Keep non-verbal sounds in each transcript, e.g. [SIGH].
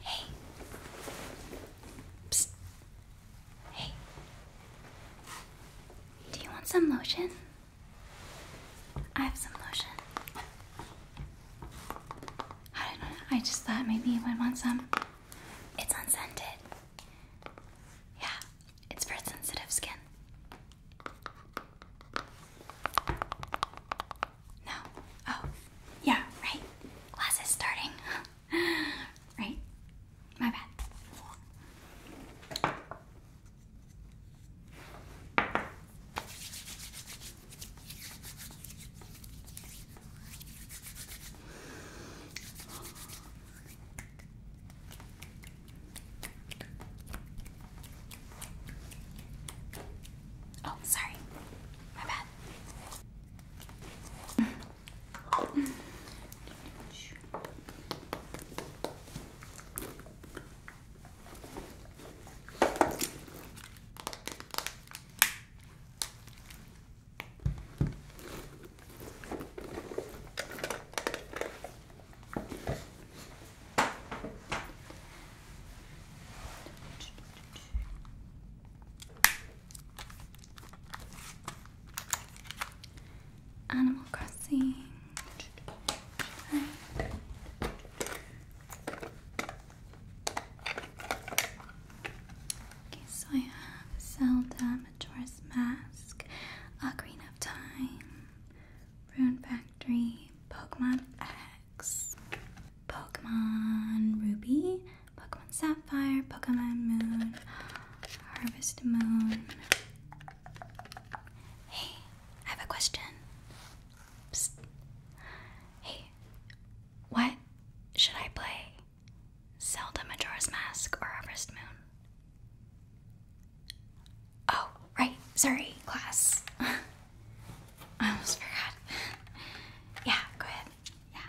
Hey. Psst. Hey. Do you want some lotion? I have some lotion. I I just thought maybe you would want some. It's unscented. Yeah, it's for sensitive skin. No. Oh, yeah, right. Class starting. [LAUGHS] right? My bad. Oh, sorry. My bad. Animal Crossing. Okay, so I have Zelda, Majora's Mask, Ocarina of Time, Rune Back Factory, Pokemon X, Pokemon Ruby, Pokemon Sapphire, Pokemon Moon, Harvest Moon. Hey, I have a question. Hey, what should I play? Zelda Majora's Mask or Harvest Moon? Oh, right. Sorry, class. [LAUGHS] I almost forgot. yeah, go ahead. Yeah.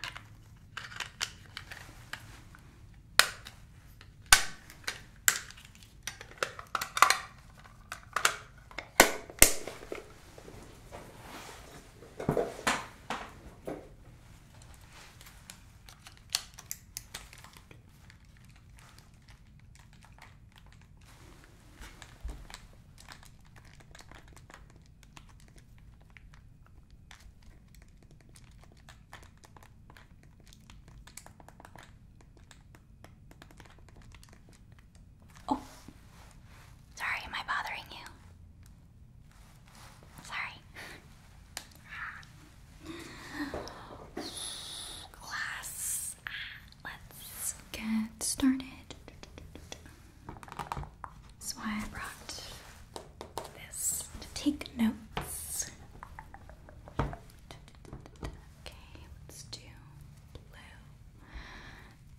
Oh, sorry, am I bothering you? Sorry. [SIGHS] Glass let's get started. That's why I brought this to take notes. Okay, let's do blue.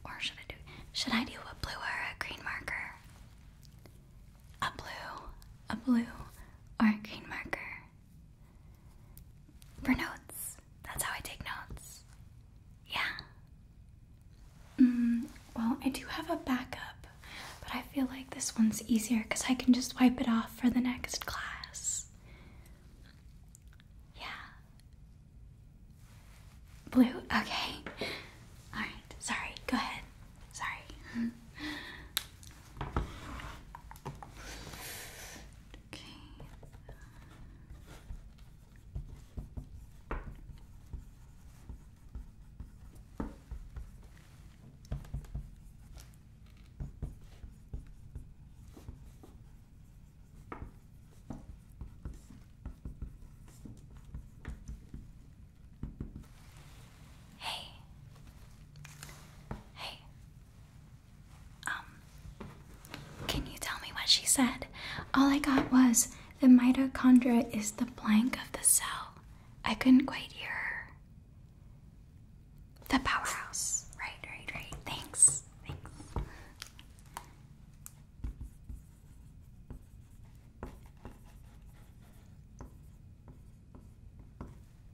Or should I do should I do a blue or a green marker? A blue, a blue, or a green marker? For notes. That's how I take notes. Yeah. Mm, well, I do have a backup, but I feel like this one's easier because I can just wipe it off for the next class. Yeah. Blue? Okay. Alright, sorry. Go ahead. Sorry. [LAUGHS] Okay. Hey. Hey. Um, can you tell me what she said? All I got was the mitochondria is the blank of the cell. I couldn't quite hear her. The powerhouse. Right, right, right. Thanks. Thanks.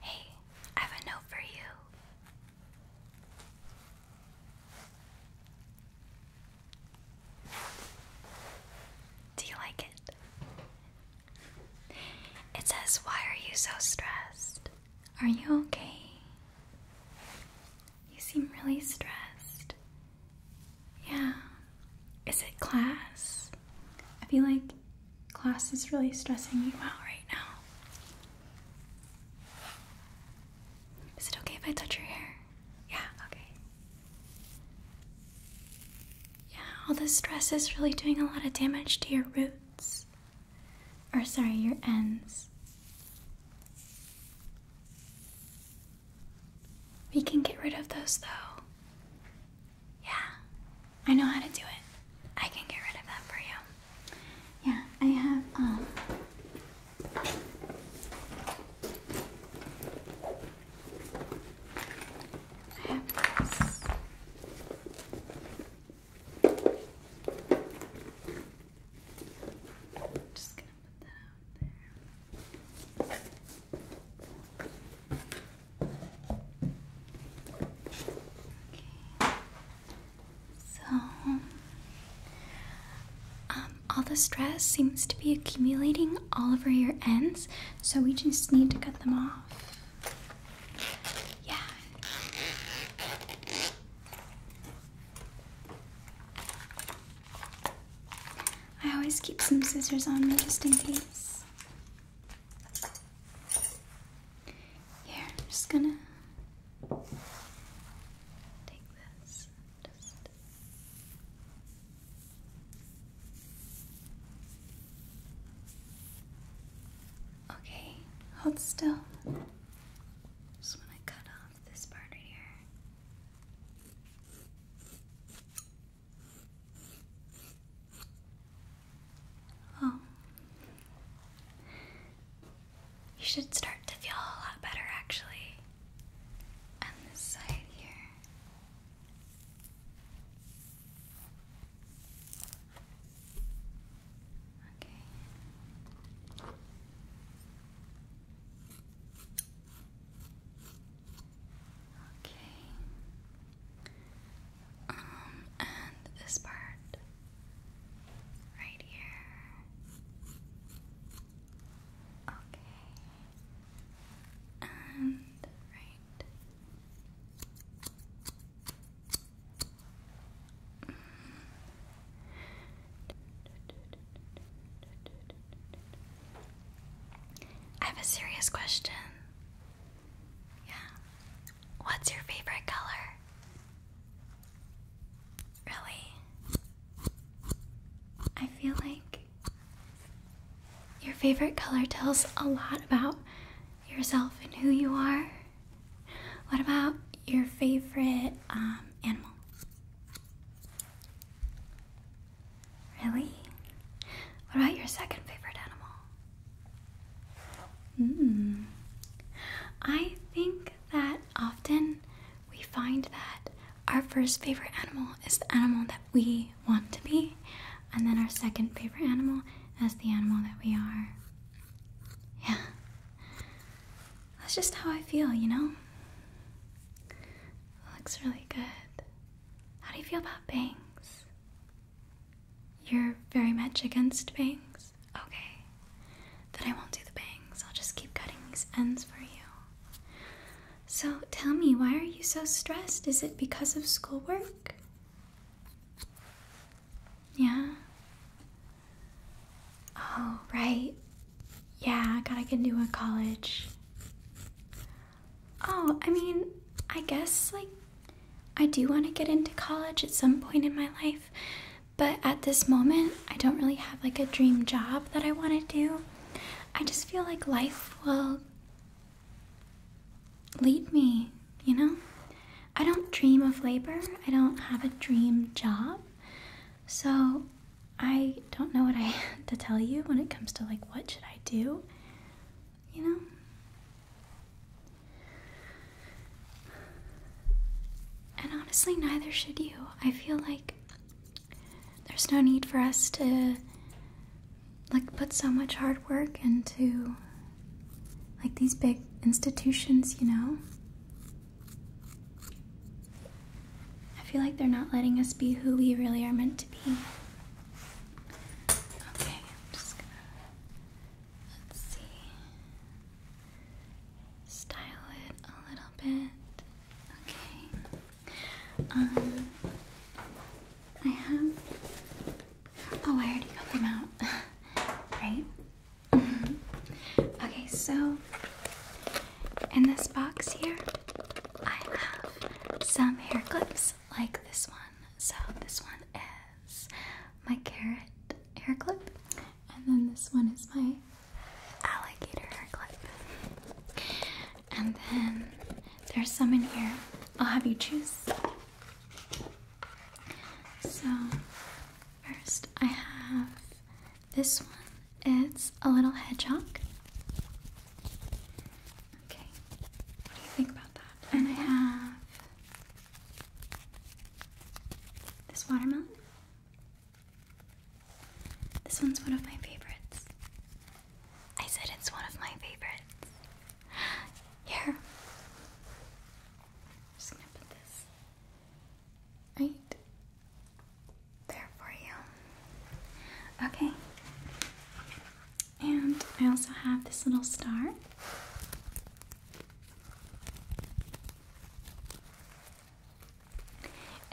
Hey, I have a note for you. Do you like it? It says, Why are you so stressed? Are you okay? You seem really stressed. Yeah. Is it class? I feel like class is really stressing you out right now. Is it okay if I touch your hair? Yeah, okay. Yeah, all this stress is really doing a lot of damage to your roots. Or, sorry, your ends. We can get rid of those though. Yeah, I know how to do it. I can get rid of that for you. Yeah, I have I have this just gonna put that out there. Okay. So, um, all the stress seems to be accumulating all over your ends, so we just need to cut them off. Yeah. I always keep some scissors on me just in case. Yeah, I'm just gonna Take this, just Okay, hold still. Just want to cut off this part right here. Oh, you should start to feel a lot better actually. On this side here. Okay. Okay. Um, and this part. Right here. Okay. And right. I have a serious question. Yeah. What's your favorite color? Really? I feel like your favorite color tells a lot about yourself and who you are. What about your favorite um, animal? Really? What about your second favorite animal? Hmm. I think that often we find that our first favorite animal is the animal that we want to be, and then our second favorite animal is the animal that we are. Yeah. That's just how I feel, you know? looks really good. How do you feel about bangs? You're very much against bangs. Okay. Then I won't do the bangs. I'll just keep cutting these ends for you. So tell me, why are you so stressed? Is it because of schoolwork? Yeah. Oh, right. Yeah, I gotta get into a college. Oh, I mean, I guess, like, I do want to get into college at some point in my life, but at this moment, I don't really have like a dream job that I want to do. I just feel like life will lead me, you know? I don't dream of labor, I don't have a dream job. So I don't know what I [LAUGHS] have to tell you when it comes to like what should I do, you know? And honestly, neither should you. I feel like there's no need for us to like put so much hard work into like these big institutions, you know? I feel like they're not letting us be who we really are meant to be. Okay, Let's see style it a little bit. Okay. Um, I have. Oh, I already got them out. [LAUGHS] right? Mm-hmm. okay, so in this box here, I have some hair clips like this one. So this one is my carrot hair clip, and then this one is my alligator clip. And then there's some in here. I'll have you choose. So, first I have this one. It's a little hedgehog. Okay, what do you think about that? And I have this watermelon. This one's one of my favorites. I said it's one of my favorites. [GASPS] Here. just gonna put this right there for you. Okay. And I also have this little star.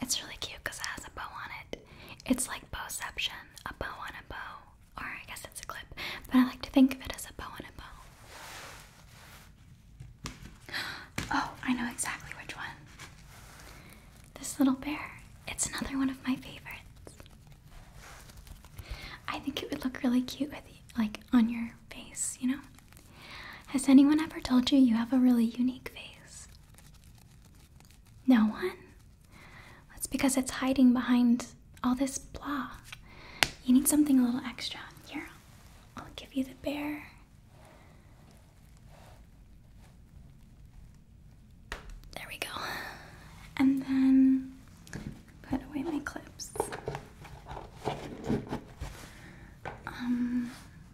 It's really cute because it has a bow on it. It's like bowception, a bow on a bow, or I guess it's a clip, but I like to think of it as a bow on a bow. [GASPS] Oh, I know exactly which one. This little bear. It's another one of my favorites. I think it would look really cute with like on your face, you know? Has anyone ever told you you have a really unique face? No one? That's because it's hiding behind all this blah. You need something a little extra. Here, I'll give you the bear. There we go. And then put away my clips. Um,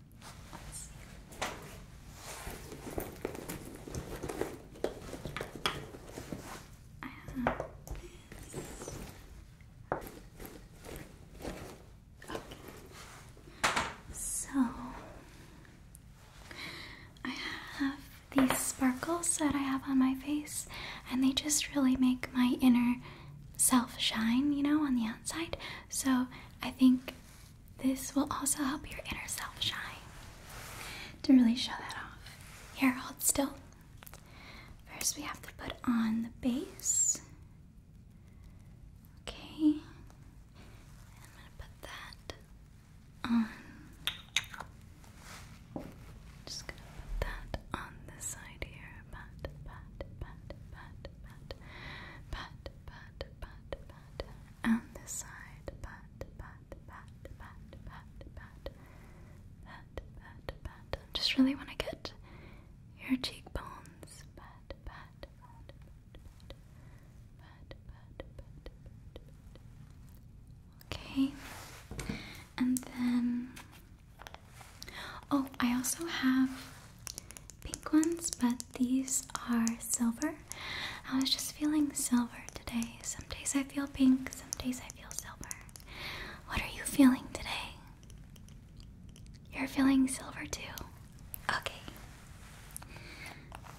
I have this. Okay. So I have these sparkles that I have on my face, and they just really make my inner self shine, you know, on the outside. So I think this will also help your inner self shine to really show that off. Here, hold still. First, we have to put on the base. Okay, I'm gonna put that on. Just gonna put that on this side here. Pat, pat, pat, pat, pat, pat, pat, pat, pat, pat. And this side, pat, pat, pat, pat, pat, pat, pat, pat, pat. just really want to get your cheekbones, pat, pat, pat, pat, pat, pat, pat, pat. Okay, and then Oh, I also have pink ones, but these are silver. I was just feeling silver today. Some days I feel pink, some days I feel silver. What are you feeling today? You're feeling silver too. Okay.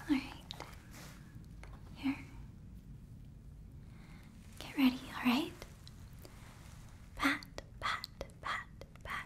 Alright. Here. Get ready, alright? Pat, pat, pat, pat,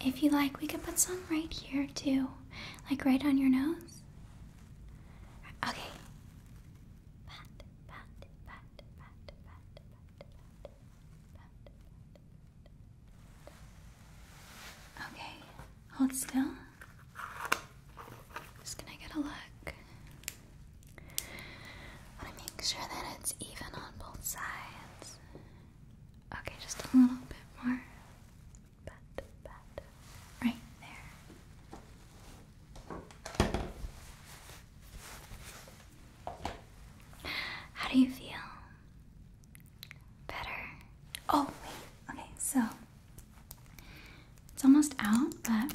if you like, we could put some right here too, like right on your nose. Okay. Okay, hold still. Just gonna get a look. I want to make sure that it's even on both sides. Okay, just a little bit more. Right there. How do you feel? Better? Oh, wait. Okay, so it's almost out, but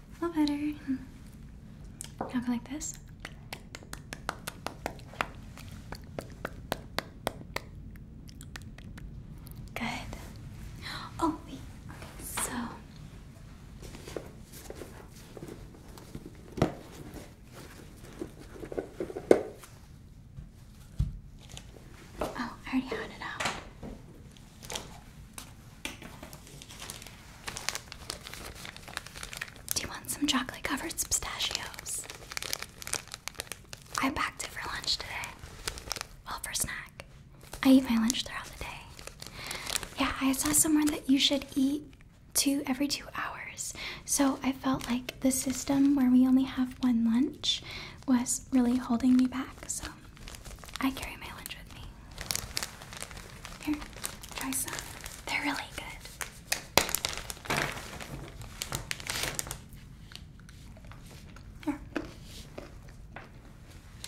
a little better. Hmm. Now go like this. Good. Oh so Oh, I already had it out. Do you want some chocolate covered pistachios? I packed it for lunch today. Well, for snack. I eat my lunch throughout the day. Yeah, I saw somewhere that you should eat two every two hours. So I felt like the system where we only have one lunch was really holding me back. So I carry my lunch with me. Here, try some. They're really good. Here.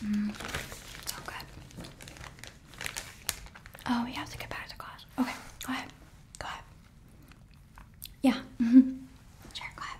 Mm, so good. Oh, you have to get back to class. Okay, go ahead. Go ahead. Yeah. Mm -hmm. Sure, go ahead.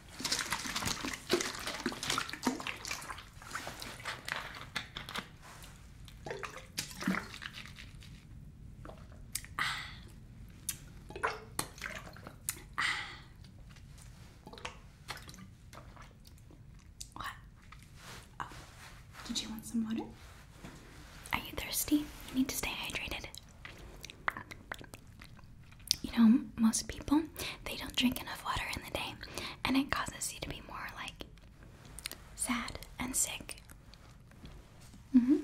What? Oh. oh, did you want some water? Are you thirsty? You need to stay hydrated you know, most people they don't drink enough water in the day, and it causes you to be more like sad and sick. Mm-hmm.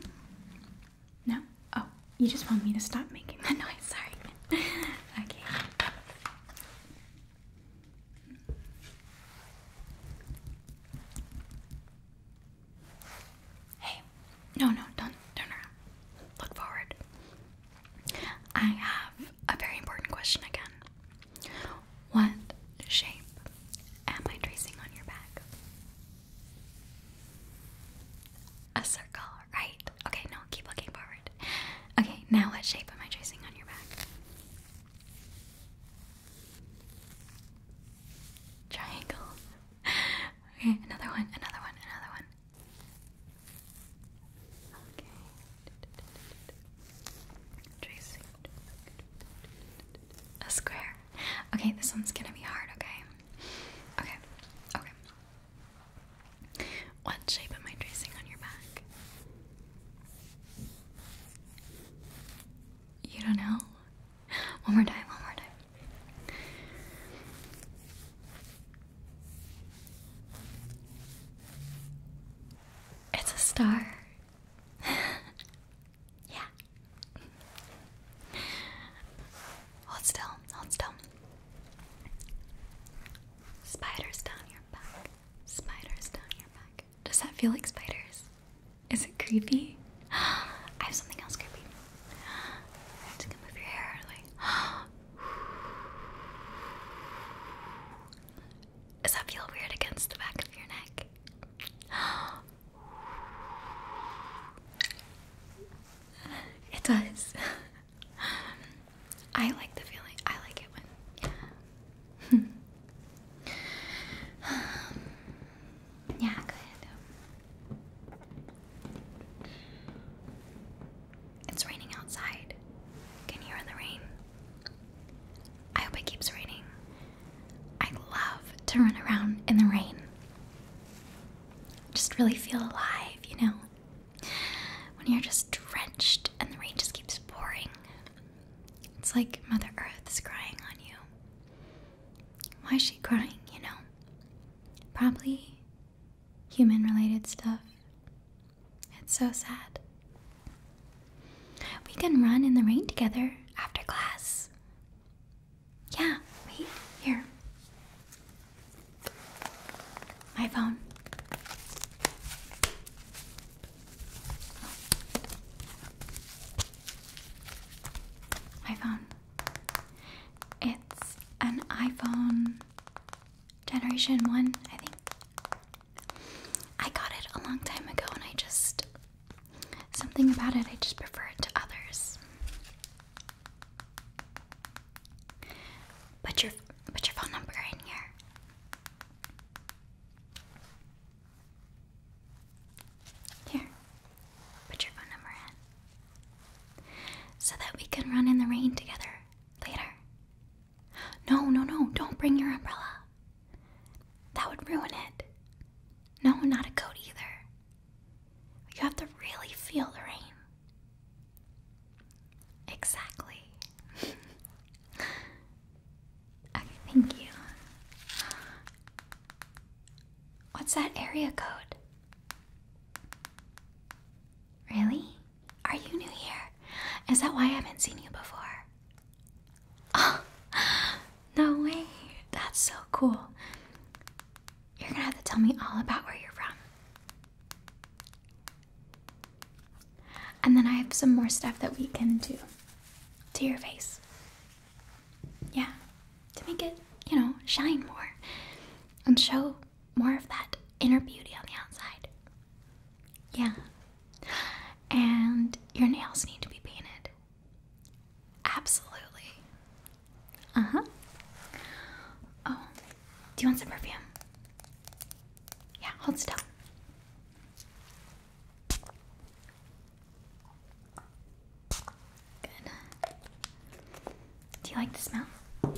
No? Oh, you just want me to stop making that [LAUGHS] noise, sorry. okay. Hey, no, no, don't turn around. Look forward. I have a very important question again. What shape am I tracing on your back? A circle, right? Okay, no, keep looking forward. Okay, now what shape am I tracing on your back? Triangle. [LAUGHS] Okay, another one, another one, another one. Okay. Tracing. A square. Okay, this one's gonna be hard, okay? Okay, okay. What shape am I tracing on your back? You don't know? One more time, one more time. It's a star. [LAUGHS] yeah. Hold still, hold still. Spiders down your back. Spiders down your back. Does that feel like spiders? Is it creepy? [GASPS] I have something else creepy. [GASPS] i gonna move your hair out [GASPS] Does that feel weird against the back of your neck? [GASPS] It does. [LAUGHS] I like the feeling. I like it when. Yeah. [LAUGHS] Um, yeah, good. It's raining outside. Can hear the rain? I hope it keeps raining. I love to run around in the rain. Just really feel alive, you know? When you're just drenched and the rain just keeps pouring. It's like Mother Earth is crying on you. Why is she crying, you know? Probably human related stuff. It's so sad. We can run in the rain together after class. Yeah, wait, here. My phone. It's an iPhone Generation 1, I think. I got it a long time ago and I just. Something about it, I just prefer it to others. Put your put your phone number in here. Here. Put your phone number in. So that we can run in the rain together Later. No, no, no, don't bring your umbrella. That would ruin it. No, not a coat either. You have to really feel the rain. Exactly. [LAUGHS] okay, thank you. What's that area code? Really? Are you new here? Is that why I haven't seen you before? Oh, no way. That's so cool. You're gonna have to tell me all about where you're from. And then I have some more stuff that we can do to your face. Yeah, to make it, you know, shine more and show more of that inner beauty on the outside. Yeah. And your nails need to be painted. Absolutely. Uh huh. Oh, do you want some perfume? Yeah, hold still. Good. Do you like the smell? Do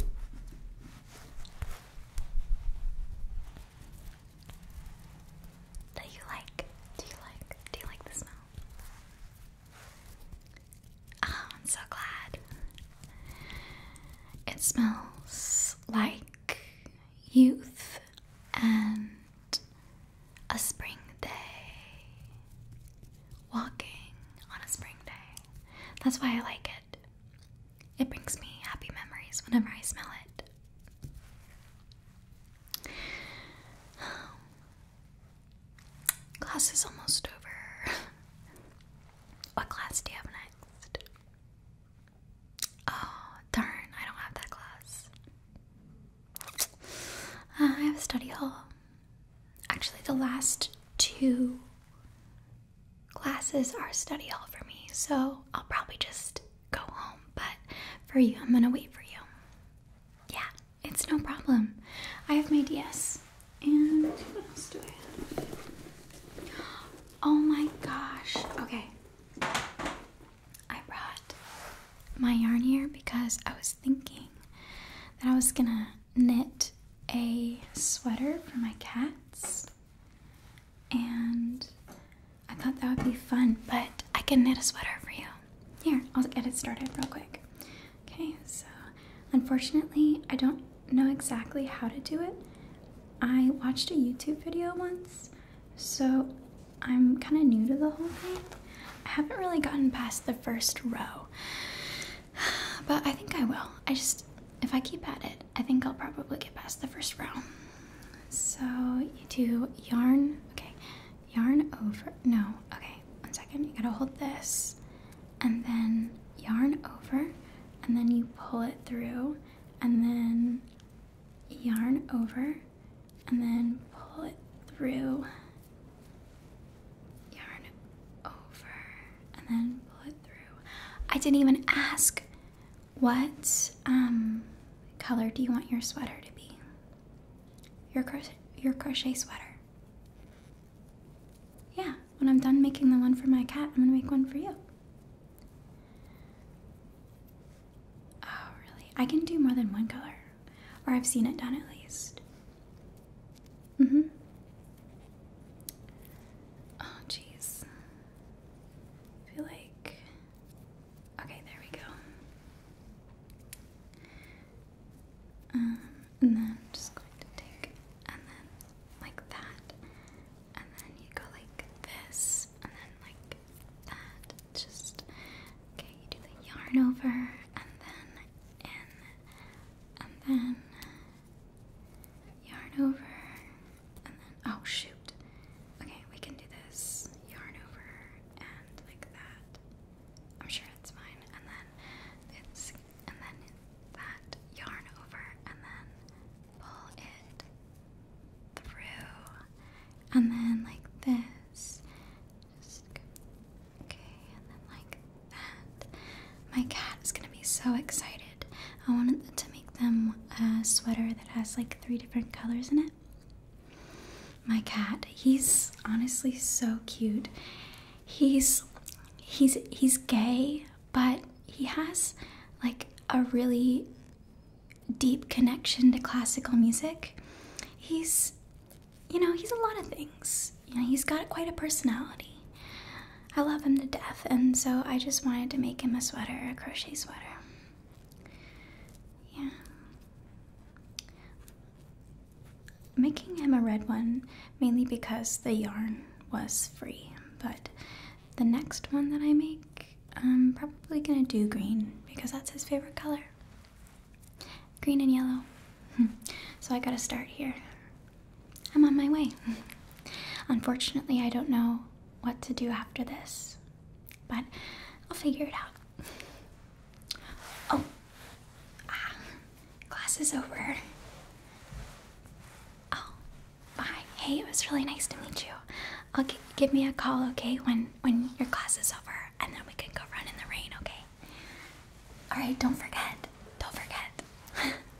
you like? Do you like? Do you like the smell? Oh, I'm so glad. It smells like youth and a spring day. Walking on a spring day. That's why I like it it. brings me happy memories whenever I smell it. Class is almost over. what class do you have next? Oh, darn, I don't have that class. Uh, I have a study hall. Actually, the last two classes are study hall for me, so I'll probably just go home. But for you, I'm gonna wait for you. Yeah, it's no problem. I have my DS. And what else do I have? Oh my gosh. Okay. I brought my yarn here because I was thinking that I was gonna knit a sweater for my cats, and I thought that would be fun, but I can knit a sweater for you. Here, I'll get it started real quick. Okay, so unfortunately, I don't know exactly how to do it. I watched a YouTube video once, so I'm kind of new to the whole thing. I haven't really gotten past the first row. [SIGHS] But I think I will. I just, if I keep at it, I think I'll probably get past the first round. So you do yarn, okay, yarn over, no, okay, one second. You gotta hold this and then yarn over and then you pull it through and then yarn over and then pull it through. Yarn over and then pull it through. I didn't even ask what um, color do you want your sweater to be? Your crochet, your crochet sweater. Yeah, when I'm done making the one for my cat, I'm gonna make one for you. Oh, really? I can do more than one color, or I've seen it done at least. Mm-hmm. Oh, jeez. feel like... Okay, there we go. Um, and then just going to take, and then like that, and then you go like this, and then like that. Just okay. You do the yarn over, and then in, and then yarn over, and then, oh shoot. Okay, we can do this. Yarn over, and like that. I'm sure it's mine. And then it's, and then that, yarn over, and then pull it through. And then like this. okay, and then like my cat is gonna be so excited. I wanted to make them a sweater that has like three different colors in it. My cat, he's honestly so cute. He's he's he's gay, but he has like a really deep connection to classical music. He's you know, he's a lot of things. he's got quite a personality. I love him to death, and so I just wanted to make him a sweater, a crochet sweater. Yeah. Making him a red one mainly because the yarn was free, but the next one that I make, I'm probably gonna do green because that's his favorite color. Green and yellow. [LAUGHS] so I gotta start here. I'm on my way. [LAUGHS] Unfortunately, I don't know what to do after this, but I'll figure it out. [LAUGHS] Oh, ah, class is over. Oh, bye. Hey, it was really nice to meet you. I'll give me a call, okay, when when your class is over, and then we can go run in the rain, okay? All right, don't forget. Don't forget. [LAUGHS]